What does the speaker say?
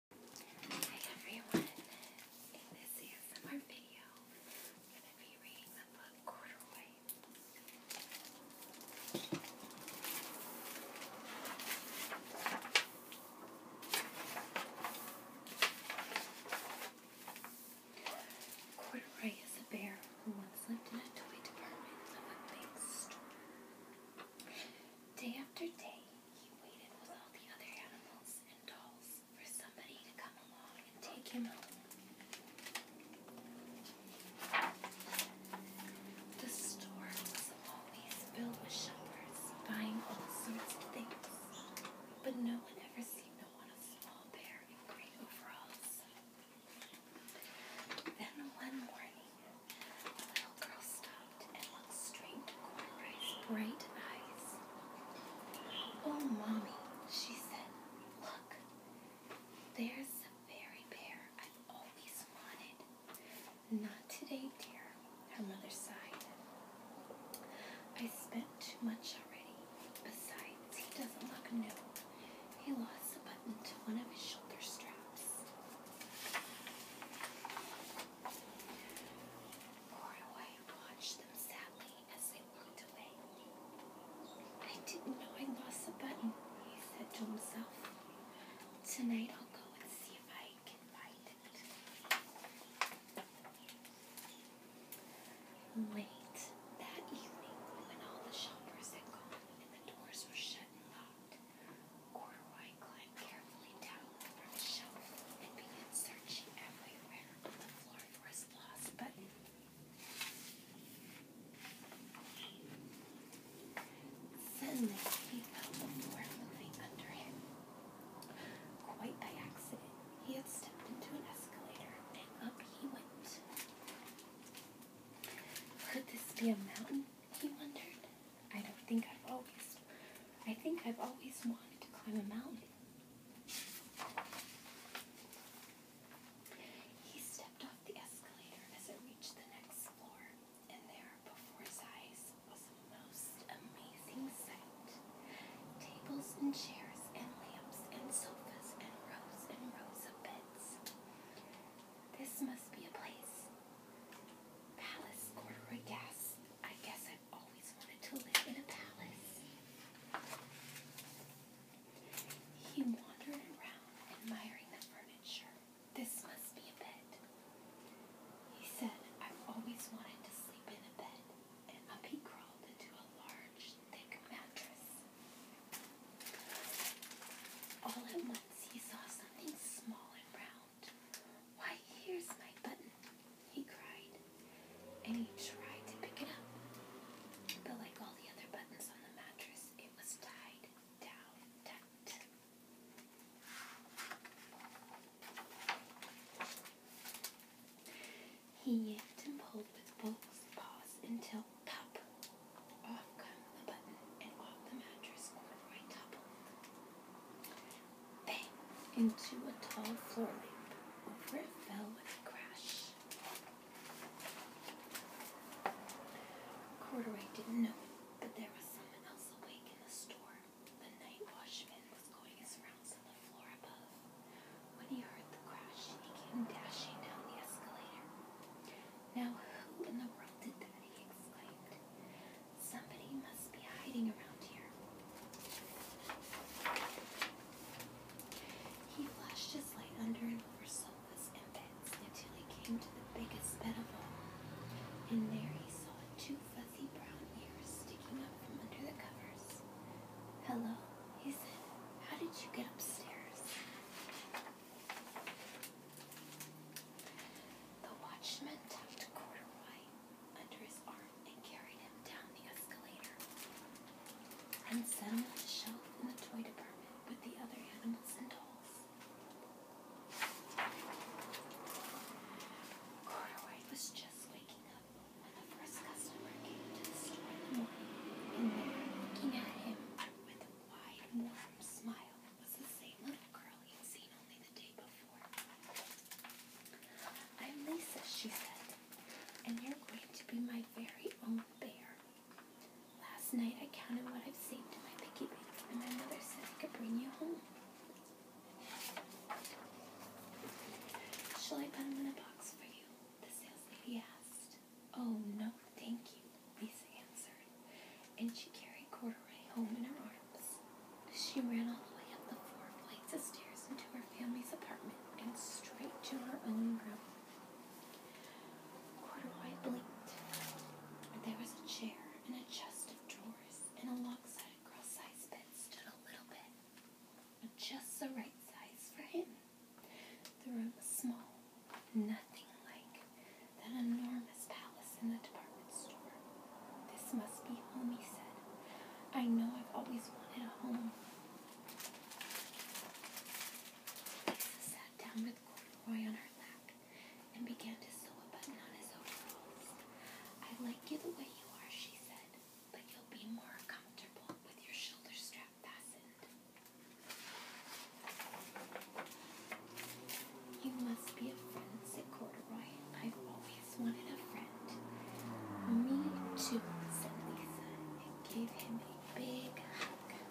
Hi everyone! In this ASMR video, I'm going to be reading the book Corduroy. Corduroy is a bear who once lived in a toy department of a big store. Day after day, he waited with all the other animals and dolls for somebody to come along and take him home. The store was always filled with shoppers buying all sorts of things, but no one ever seemed to want a small bear in gray overalls. Then one morning, little girl stopped and looked straight to Cornbray's bright eyes. Oh, Mommy, she said, look, there's the fairy bear I've always wanted. Not today, dear, her mother sighed. I spent too much already. Besides, he doesn't look new. He lost a button to one of his shoulder straps. Mordawai watched them sadly as they walked away. I didn't know I lost a button, he said to himself. Tonight I'll go and see if I can find it. Late that evening, when all the shoppers had gone and the doors were shut and locked, Corduroy climbed carefully down over the shelf and began searching everywhere on the floor for his lost button. Suddenly, he felt the floor moving under him. Quite by accident, he had stepped into an escalator, and up he went. Could this be a mountain? He wondered. I don't think I've always. I think I've always wanted to climb a mountain. He stepped off the escalator as it reached the next floor, and there, before his eyes, was a most amazing sight. Tables and chairs and lamps and sofas and rows and rows of beds. This must be a place. Palace corduroy gas. I guess I've always wanted to live in a palace. He wandered around admiring the furniture. This must be a bed. He said, I've always wanted to sleep in a bed. And up he crawled into a large, thick mattress. All at once he saw something small and round. Why, here's my button, he cried, and he tried to pick it up. But like all the other buttons on the mattress, it was tied down tight. He yanked and pulled with both paws until pop off come the button and off the mattress corduroy toppled. Bang! Into a tall floor lamp. Over it fell with a crash. Corduroy didn't know but there was someone else awake in the store. The night watchman was going his rounds when he heard the crash, he came dashing down the escalator. Now, who in the world did that? he exclaimed. Somebody must be hiding around here. He flashed his light under and over sofas and beds until he came to the biggest bed of all. And there he saw two fuzzy brown ears sticking up from under the covers. Hello, he How did you get upstairs? The watchman tucked Corduroy under his arm and carried him down the escalator. Ren set him on a shelf in the toy department with the other animals and dolls. Corduroy was just waking up when the first customer came to the store in the morning, in looking at him with a wide, warm smile, was the same little girl he had seen only the day before. I'm Lisa, she said, and you're going to be my very own bear. Last night I counted what I've saved in my piggy bank, and my mother said I could bring you home. Shall I put them in a box for you? The sales lady asked. Oh, no, thank you, Lisa answered, and she carried Corduroy home in her arms. She ran all the way up the four flights of stairs into her family's apartment and straight to her own room. Corduroy blinked. There was a chair and a chest of drawers and a lock set just the right size for him. The room was small, nothing like an enormous palace in a department store. This must be home, he said. I know I've always wanted a home. sat down with corduroy on her lap and began to sew a button on his overalls. I like you the way you are, she said, but you'll be more comfortable with your shoulder strap fastened. You must be a friend, said Corduroy. I've always wanted a friend. Me too, said Lisa, and gave him a big hug.